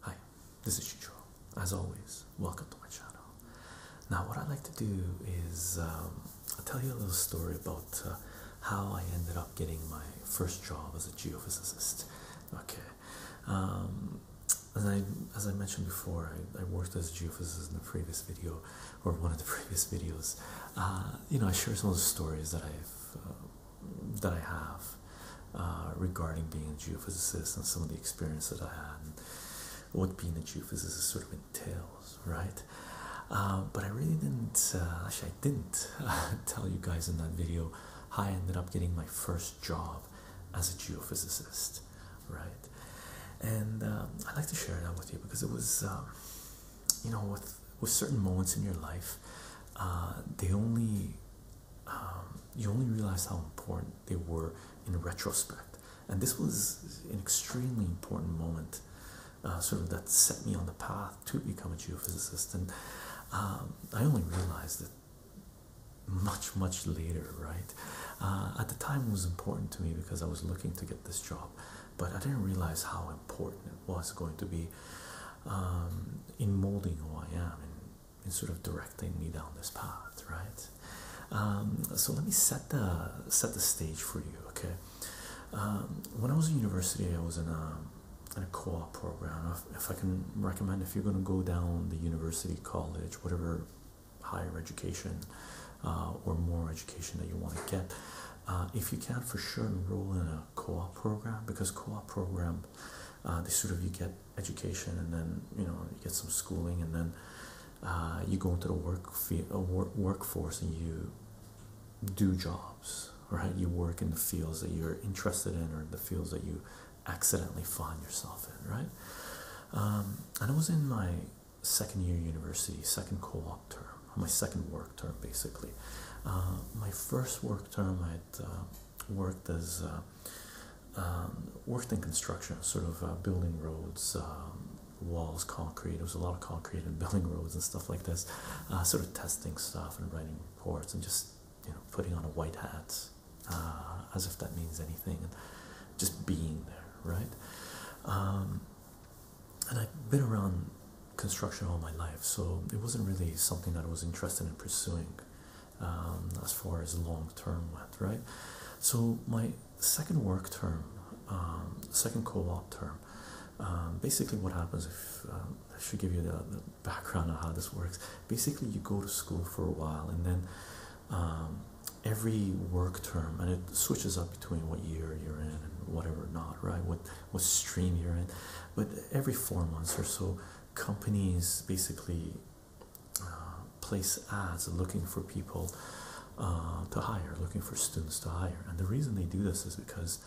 Hi, this is Chicho. As always, welcome to my channel. Now, what I like to do is um, tell you a little story about uh, how I ended up getting my first job as a geophysicist. Okay, um, as I mentioned before, I worked as a geophysicist in the previous video, or one of the previous videos, uh, you know, I share some of the stories that I've uh, that I have uh, regarding being a geophysicist and some of the experience that I had, and what being a geophysicist sort of entails, right? but I really didn't. actually, I didn't tell you guys in that video how I ended up getting my first job as a geophysicist, right? And um, I'd like to share that with you because it was. Um, you know, with with certain moments in your life, uh, they only um, you only realize how important they were in retrospect. And this was an extremely important moment, uh, sort of that set me on the path to become a geophysicist. And um, I only realized it much much later, right? Uh, at the time, it was important to me because I was looking to get this job but I didn't realize how important it was going to be um, in molding who I am and sort of directing me down this path, right? Um, so let me set the set the stage for you, okay? Um, when I was in university, I was in a in a co-op program. if I can recommend, if you're going to go down the university, college, whatever higher education uh, or more education that you want to get. Uh, if you can, for sure, enroll in a co-op program because co-op program, uh, they sort of you get education and then you know you get some schooling and then uh, you go into the work uh, work workforce and you do jobs, right? You work in the fields that you're interested in or the fields that you accidentally find yourself in, right? Um, and it was in my second year university, second co-op term, my second work term basically. Uh, my first work term, I'd uh, worked as uh, um, worked in construction, sort of uh, building roads, um, walls, concrete. It was a lot of concrete and building roads and stuff like this, sort of testing stuff and writing reports and just you know putting on a white hat as if that means anything and just being there, right? Um, and I've been around construction all my life, so it wasn't really something that I was interested in pursuing um, as far as long term went, right? So, my second work term, um, second co op term, um, basically, what happens if I should give you the, background on how this works basically, you go to school for a while and then every work term, and it switches up between what year you're in and whatever not, right? What what stream you're in, but every four months or so, companies basically uh, place ads looking for people uh, to hire, looking for students to hire, and the reason they do this is because.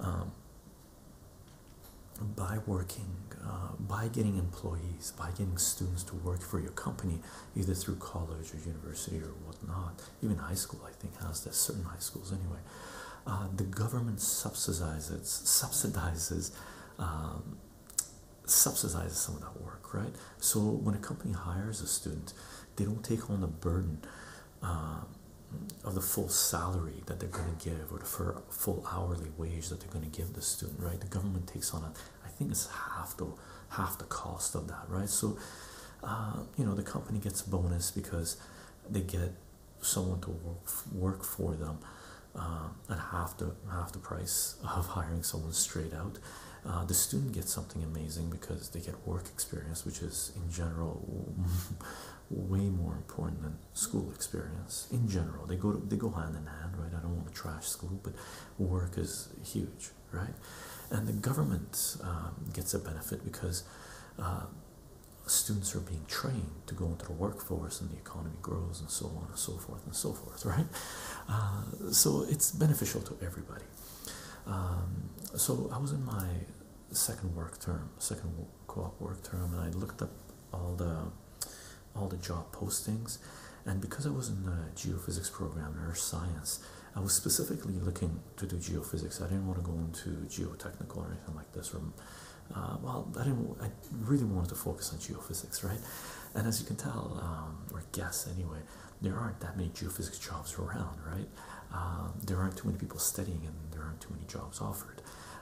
Um, by working, uh, by getting employees, by getting students to work for your company, either through college or university or whatnot, even high school I think has that. Certain high schools, anyway. Uh, the government subsidizes subsidizes um, subsidizes some of that work, right? So when a company hires a student, they don't take on the burden. Um, of the full salary that they're going to give or the full hourly wage that they're going to give the student right the government takes on it i think it's half the half the cost of that right so uh, you know the company gets a bonus because they get someone to work for them uh, at half the half the price of hiring someone straight out. Uh, the student gets something amazing because they get work experience, which is in general way more important than school experience. In general, they go they go hand in hand, right? I don't want to trash school, but work is huge right? And the government um, gets a benefit because uh, students are being trained to go into the workforce and the economy grows and so on and so forth and so forth, right? Uh, so it's beneficial to everybody. Um, so I was in my second work term, second co-op work term, and I looked at all the all the job postings, and because I was in the geophysics program, earth science, I was specifically looking to do geophysics. I didn't want to go into geotechnical or anything like this. Uh, well, I didn't. I really wanted to focus on geophysics, right? And as you can tell, um, or guess anyway, there aren't that many geophysics jobs around, right? Um, there aren't too many people studying, and there aren't too many jobs offered.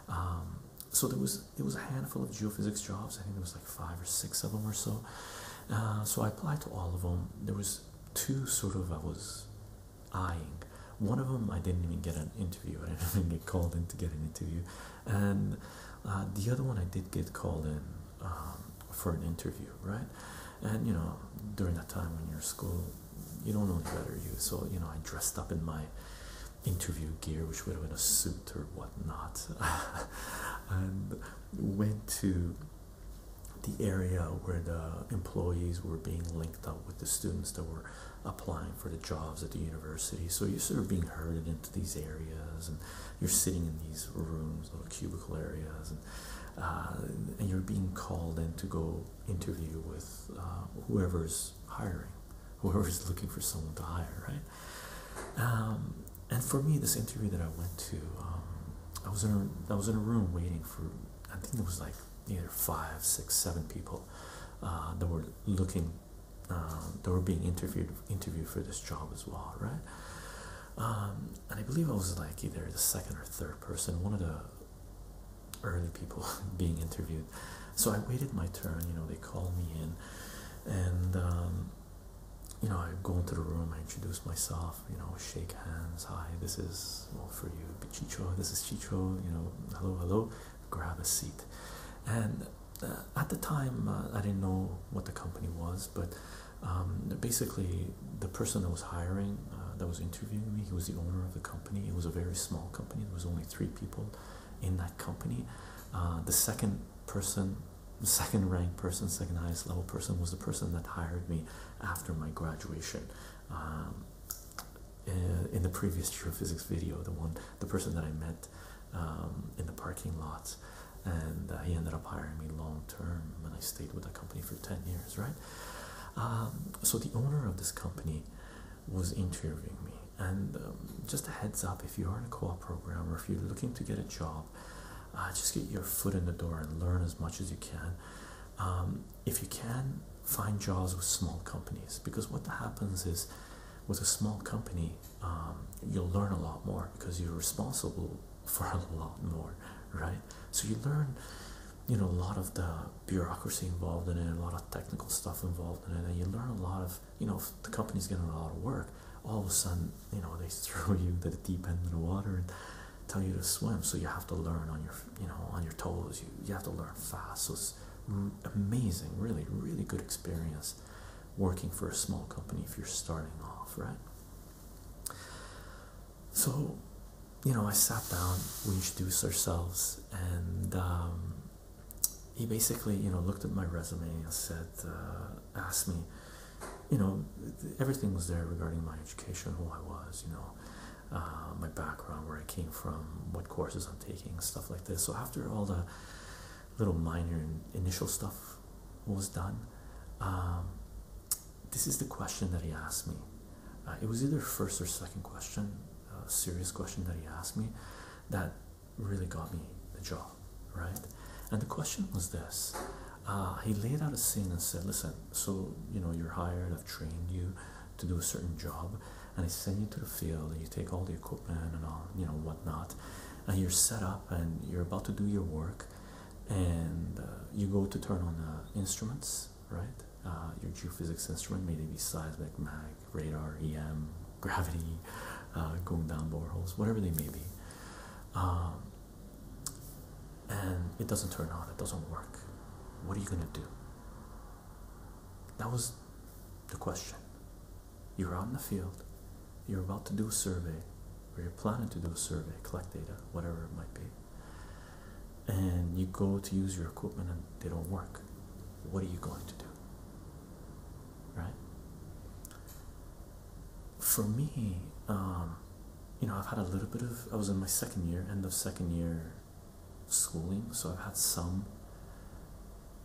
Um, so there was it was a handful of geophysics jobs. I think there was like five or six of them or so. Uh, so I applied to all of them. There was two sort of I was eyeing. One of them I didn't even get an interview. I didn't even get called in to get an interview, and uh, the other one I did get called in um, for an interview, right? And you know, during that time when you're in school, you don't know any better, you. So you know, I dressed up in my interview gear, which would have been a suit or whatnot, and went to the area where the employees were being linked up with the students that were applying for the jobs at the university. So you're sort of being herded into these areas, and you're sitting in these rooms little cubicle areas, and, uh, you're being called in to go interview with uh, whoever's hiring, whoever's looking for someone to hire, right? Um, and for me, this interview that I went to, um, I was in a, I was in a room waiting for I think there was like either five, six, seven people uh, that were looking um, that were being interviewed interviewed for this job as well, right? Um, and I believe I was like either the second or third person, one of the early people being interviewed. So I waited my turn. You know, they called me in, and um, you know I go into the room. I introduce myself you know, shake hands. Hi, this is all for you, Chicho. This is Chicho. You know, hello, hello. Grab a seat. And uh, at the time, uh, I didn't know what the company was, but um, basically, the person that was hiring, uh, that was interviewing me, he was the owner of the company. It was a very small company. There was only three people in that company. the second person, the second ranked person, second highest level person, was the person that hired me after my graduation. Um, uh, in the previous geophysics video, the one, the person that I met um, in the parking lot, and uh, he ended up hiring me long term, and I stayed with that company for ten years, right? Um, so the owner of this company was interviewing me, and just a heads up: if you are in a co-op program or if you're looking to get a job uh, just get your foot in the door and learn as much as you can. Um, if you can, find jobs with small companies because what happens is with a small company, um, you'll learn a lot more because you're responsible for a lot more, right? So you learn, you know, a lot of the bureaucracy involved in it, a lot of technical stuff involved in it, and you learn a lot of, you know, the company's getting a lot of work, all of a sudden you know they throw you to the deep end of the water and tell you to swim. So you have to learn on your you know on your toes. You you have to learn fast. So it's amazing, really, really good experience working for a small company if you're starting off, right? So, you know, I sat down, we introduced ourselves, and um, he basically, you know, looked at my resume and said, uh, asked me, you know, everything was there regarding my education, who I was, you know, uh, my background, where I came from, what courses I'm taking, stuff like this. So after all the little minor initial stuff was done, um, this is the question that he asked me. Uh, it was either first or second question, serious question that he asked me, that really got me the job, right? And the question was this: Ah, he laid out a scene and said, Listen, so you know, you're hired, I've trained you to do a certain job, and I send you to the field, and you take all the equipment and all, you know, whatnot, and you're set up and you're about to do your work, and uh, you go to turn on the uh, instruments, right? Uh, your geophysics instrument, may they be seismic, mag, radar, EM, gravity, uh, going down boreholes, whatever they may be. Um, and it doesn't turn on, it doesn't work. What are you going to do? That was the question. You're out in the field, you're about to do a survey, or you're planning to do a survey, collect data, whatever it might be, and you go to use your equipment and they don't work. What are you going to do? Right? For me, um, you know, I've had a little bit of, I was in my second year, end of second year schooling, so I've had some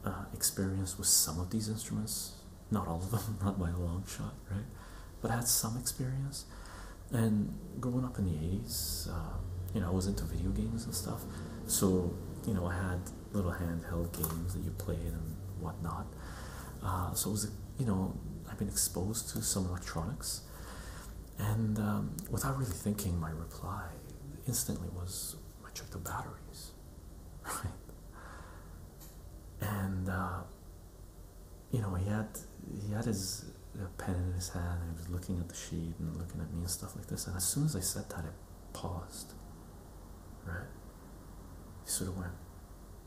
uh, experience with some of these instruments. Not all of them, not by a long shot, right? But I had some experience. And growing up in the 80s, um, you know, I was into video games and stuff. So, you know, I had little handheld games that you played and whatnot. Uh, so it was, you know, I've been exposed to some electronics, and um, without really thinking, my reply instantly was, "I checked the batteries." Right, and uh, you know he had he had his pen in his hand, and he was looking at the sheet and looking at me and stuff like this. And as soon as I said that, it paused. Right, he sort of went,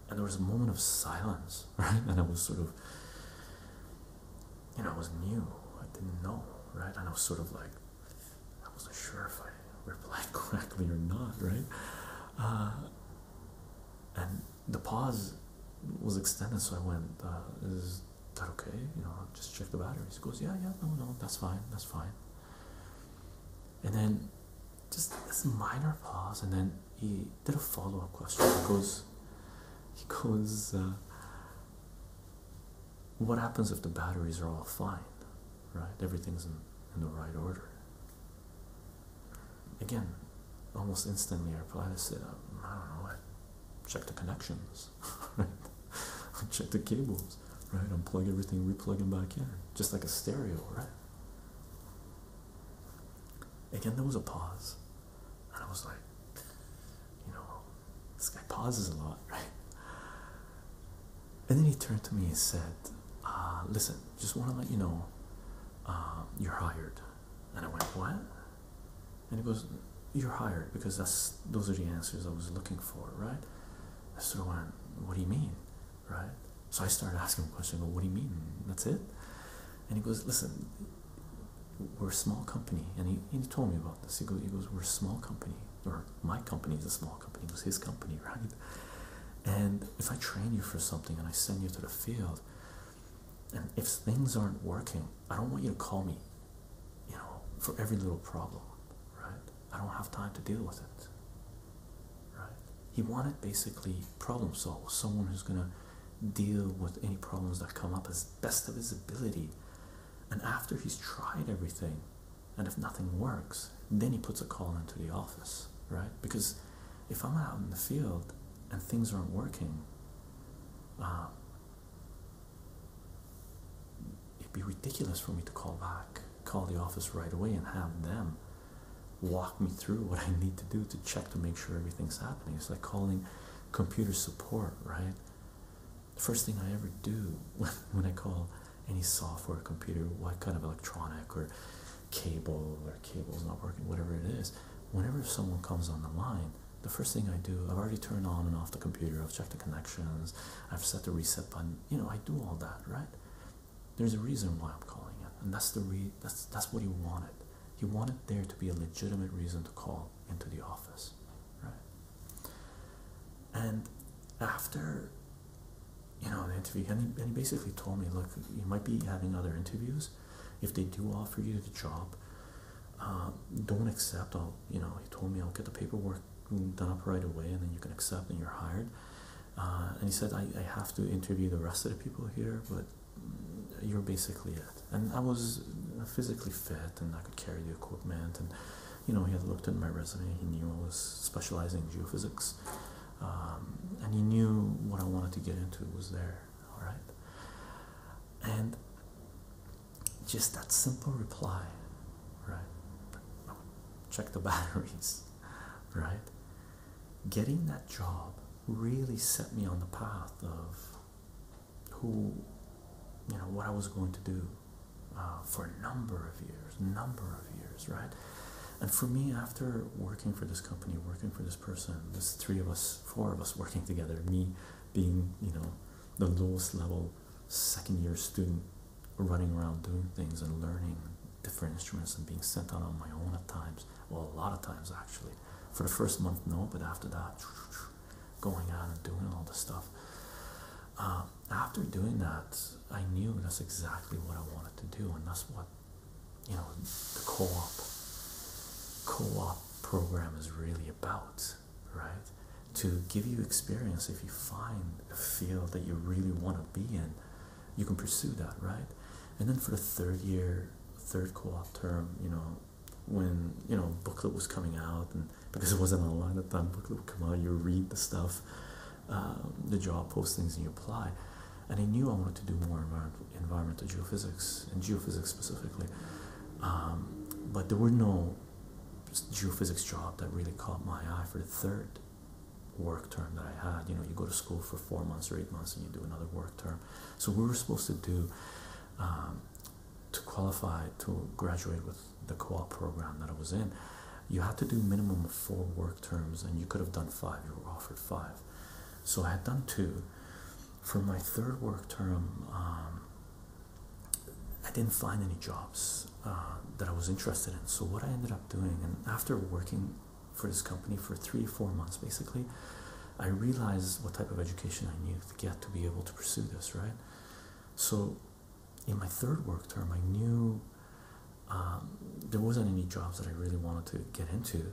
and there was a moment of silence right? And I was sort of, you know, I was new. I didn't know, right? And I was sort of like, I wasn't sure if I replied correctly or not, right? Uh, and the pause was extended, so I went, uh, "Is that okay? You know, just check the batteries." goes, "Yeah, yeah, no, no, that's fine, that's fine." And then, just a minor pause, and then he did a follow up question. He goes, he goes, what happens if the batteries are all fine, right? Everything's in, in the right order. Again, almost instantly, our pilot said, I don't know, check the connections, right? check the cables, right? Unplug everything, replug them back in, just like a stereo, right? Again, there was a pause, and I was like, you know, this guy pauses a lot, right? And then he turned to me and said, uh, listen, just want to let you know uh, you're hired. And I went, what? And he goes, you're hired because that's those are the answers I was looking for, right? I sort of went, what do you mean, right? So I started asking him questions. go, what do you mean? That's it? And he goes, listen, we're a small company. And he, he told me about this. He goes, he goes, we're a small company. Or my company is a small company. It was his company, right? And if I train you for something and I send you to the field, and if things aren't working, I don't want you to call me, you know, for every little problem, right? I don't have time to deal with it, right? He wanted basically problem solve, someone who's gonna deal with any problems that come up as best of his ability. And after he's tried everything, and if nothing works, then he puts a call into the office, right? Because if I'm out in the field and things aren't working, um, it'd be ridiculous for me to call back, call the office right away, and have them walk me through what I need to do to check to make sure everything's happening. It's like calling computer support, right? The first thing I ever do when I call any software, computer, what kind of electronic or cable or cable's not working, whatever it is, whenever someone comes on the line, the first thing I do, I've already turned on and off the computer, I've checked the connections, I've set the reset button, you know, I do all that, right? There's a reason why I'm calling it, and that's the re that's that's what you wanted. He wanted there to be a legitimate reason to call into the office, right? And after you know the interview, and he, basically told me, look, you might be having other interviews. If they do offer you the job, um, don't accept. I'll you know he told me I'll get the paperwork done up right away, and then you can accept and you're hired. Uh, and he said I have to interview the rest of the people here, but you're basically it. And I was physically fit and I could carry the equipment. And, you know, he had looked at my resume, he knew I was specializing in geophysics. Um, and he knew what I wanted to get into was there, all right? And just that simple reply, right? Check the batteries, right? getting that job really set me on the path of who you know what I was going to do uh, for a number of years number of years right and for me after working for this company working for this person this three of us four of us working together me being you know the lowest level second year student running around doing things and learning different instruments and being sent out on my own at times well a lot of times actually for the first month, no, but after that, going out and doing all this stuff. Um, after doing that, I knew that's exactly what I wanted to do, and that's what you know the co-op co-op program is really about, right? To give you experience if you find a field that you really want to be in you can pursue that, right? And then for the third year, third co-op term, you know, when you know booklet was coming out, and because it wasn't online at the time, booklet would come out. You read the stuff, um, the job postings, and you apply. And I knew I wanted to do more environmental, environmental geophysics and geophysics specifically, um, but there were no geophysics job that really caught my eye for the third work term that I had. You know, you go to school for four months or eight months, and you do another work term. So we were supposed to do um, to qualify to graduate with the co-op program that I was in. You had to do minimum of four work terms, and you could have done five. You were offered five, so I had done two. For my third work term, um, I didn't find any jobs uh, that I was interested in. So what I ended up doing, and after working for this company for three, four months basically, I realized what type of education I needed to get to be able to pursue this, right? So, in my third work term, I knew um, there wasn't any jobs that I really wanted to get into.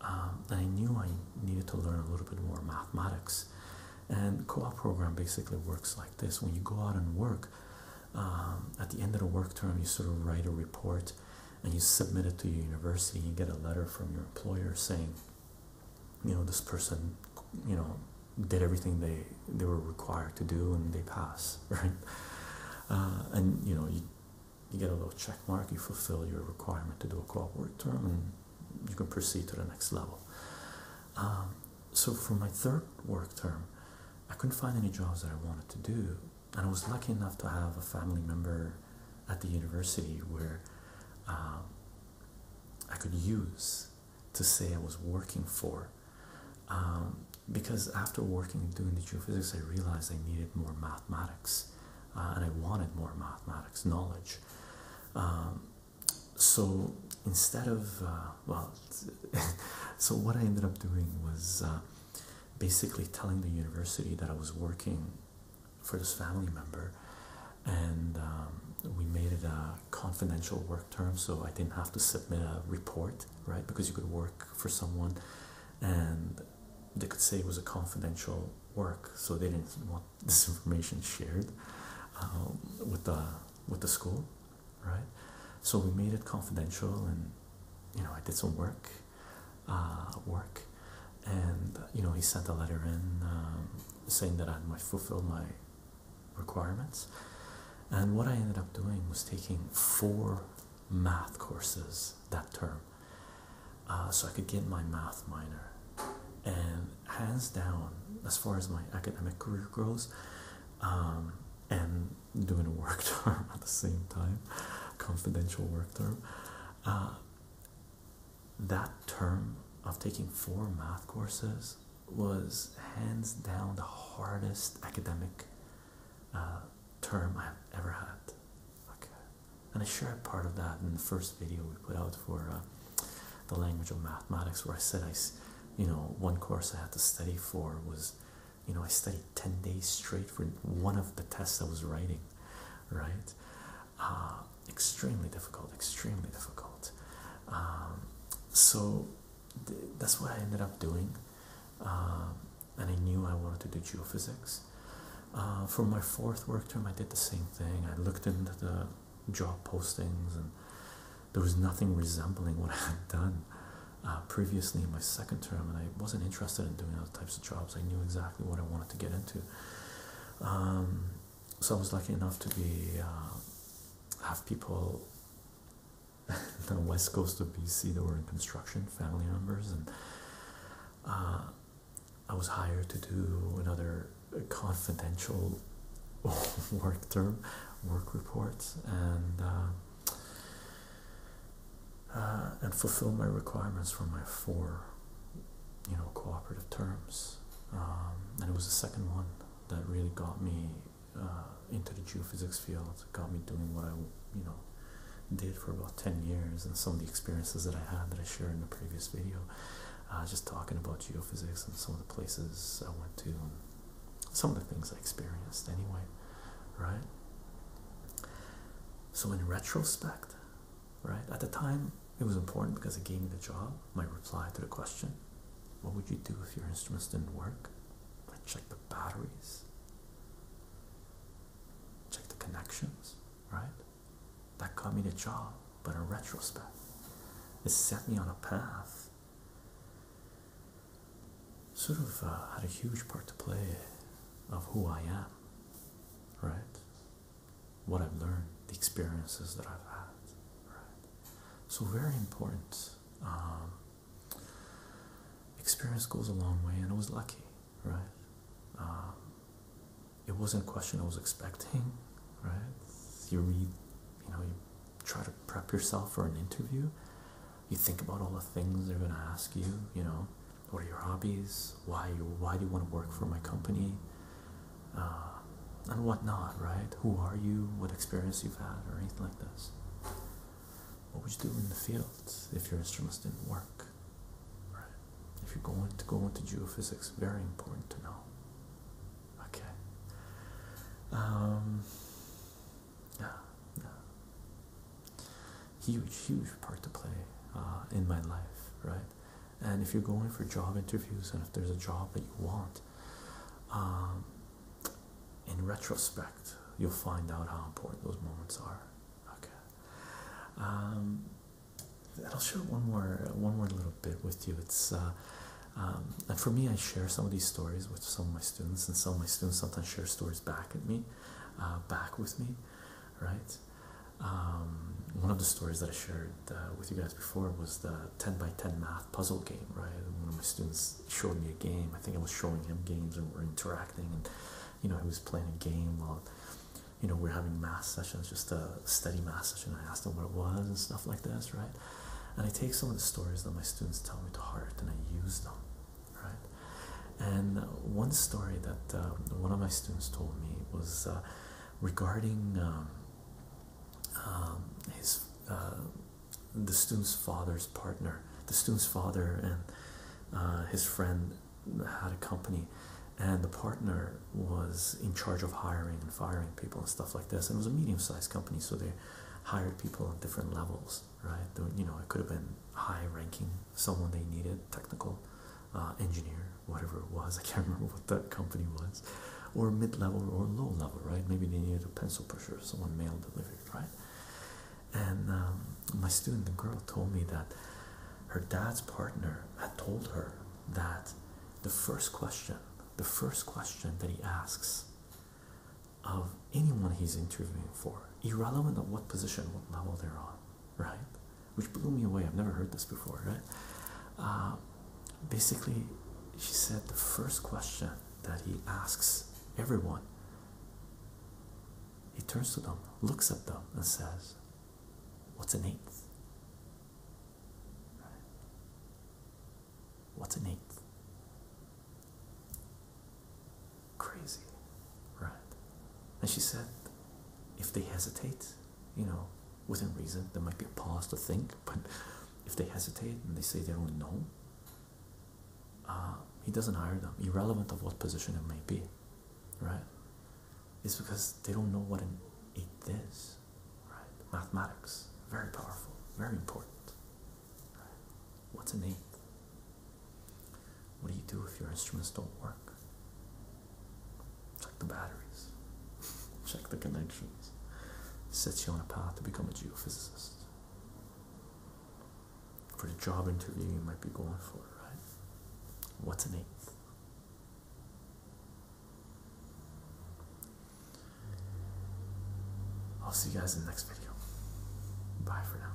Um, and I knew I needed to learn a little bit more mathematics. And co-op program basically works like this: when you go out and work, um, at the end of the work term, you sort of write a report, and you submit it to your university and get a letter from your employer saying you know this person you know did everything they they were required to do and they pass right uh, and you know you, you get a little check mark you fulfill your requirement to do a co-op work term and you can proceed to the next level um, so for my third work term i couldn't find any jobs that i wanted to do and I was lucky enough to have a family member at the university where um, I could use to say I was working for. Um, because after working doing the geophysics, I realized I needed more mathematics uh, and I wanted more mathematics knowledge. Um, so instead of, uh, well, so what I ended up doing was uh, basically telling the university that I was working for this family member, and um, we made it a confidential work term, so I didn't have to submit a report, right? Because you could work for someone, and they could say it was a confidential work, so they didn't want this information shared um, with the with the school, right? So we made it confidential, and you know I did some work, uh, work, and uh, you know he sent a letter in um, saying that I had fulfill my requirements. And what I ended up doing was taking four math courses that term, uh, so I could get my math minor. And hands down, as far as my academic career goes, um, and doing a work term at the same time, confidential work term. Uh, that term of taking four math courses was hands down the hardest academic uh, term I've ever had. and I shared part of that in the first video we put out for uh, the language of mathematics, where I said I, you know, one course I had to study for was, you know, I studied ten days straight for one of the tests I was writing right? Uh, extremely difficult, extremely difficult. Um, so that's what I ended up doing, um, and I knew I wanted to do geophysics. Uh, for my fourth work term, I did the same thing. I looked into the job postings, and there was nothing resembling what I had done uh, previously in my second term, and I wasn't interested in doing types of jobs. I knew exactly what I wanted to get into. Um, so I was lucky enough to be uh, have people on the west coast of BC that were in construction, family members, and uh, I was hired to do another uh, confidential work term, work report, and uh, and fulfill my requirements for my four, you know, cooperative terms. Um, and it was the second one that really got me uh, into the geophysics field, got me doing what I, you know, did for about 10 years and some of the experiences that I had that I shared in the previous video. Uh, just talking about geophysics and some of the places I went to and some of the things I experienced anyway, right? So in retrospect, right? At the time, it was important because it gave me the job. My reply to the question, what would you do if your instruments didn't work? I checked the batteries, checked the connections, right? That got me the job, but in retrospect, it set me on a path. Sort of uh, had a huge part to play of who I am right? What I've learned, the experiences that I've had, right? So, very important. Um, experience goes a long way, and I was lucky, right? Um, it wasn't a question I was expecting, right? You read, you know, you try to prep yourself for an interview, you think about all the things they're going to ask you, you know. What are your hobbies, why you why do you want to work for my company, uh, and whatnot, right? Who are you? What experience you've had, or anything like this. What would you do in the field if your instruments didn't work? Right. If you're going to go into geophysics, very important to know. Okay. Um, yeah, yeah huge, huge part to play uh, in my life, right? And if you're going for job interviews and if there's a job that you want, um, in retrospect, you'll find out how important those moments are. Okay. Um, I'll share one more, one more little bit with you. It's uh, um, and for me, I share some of these stories with some of my students, and some of my students sometimes share stories back at me, uh, back with me, right? Um, one of the stories that I shared uh, with you guys before was the 10 by 10 math puzzle game, right? one of my students showed me a game. I think I was showing him games and we're interacting, and you know, he was playing a game while you know we're having math sessions, just a steady math session. I asked him what it was and stuff like this, right? And I take some of the stories that my students tell me to heart and I use them, right? And uh, one story that um, one of my students told me was uh, regarding um, um, his uh, the student's father's partner. The student's father and his friend had a company, and the partner was in charge of hiring and firing people and stuff like this. And it was a medium-sized company, so they hired people on different levels, right? You know, it could have been high-ranking someone they needed, technical uh, engineer, whatever it was. I can't remember what that company was, or mid level or low level, right? Maybe they needed a pencil pusher, someone mail delivered, right? And um, my student, the girl, told me that her dad's partner had told her that the first question, the first question that he asks of anyone he's interviewing for, irrelevant of what position, what level they're on, right? Which blew me away. I've never heard this before, right? Uh, basically, she said the first question that he asks everyone, he turns to them, looks at them, and says, What's an eighth? What's an eighth? Crazy, right? And she said, if they hesitate, you know, within reason, there might be a pause to think, but if they hesitate and they say they don't know, uh, he doesn't hire them, irrelevant of what position it may be, right? It's because they don't know what an eighth is, right? Mathematics, very powerful, very important. What's an eighth? What do you do if your instruments don't work? Check the batteries, check the connections. Sets you on a path to become a geophysicist. For the job interview you might be going for, right? What's an eighth? I'll see you guys in the next video. Bye for now.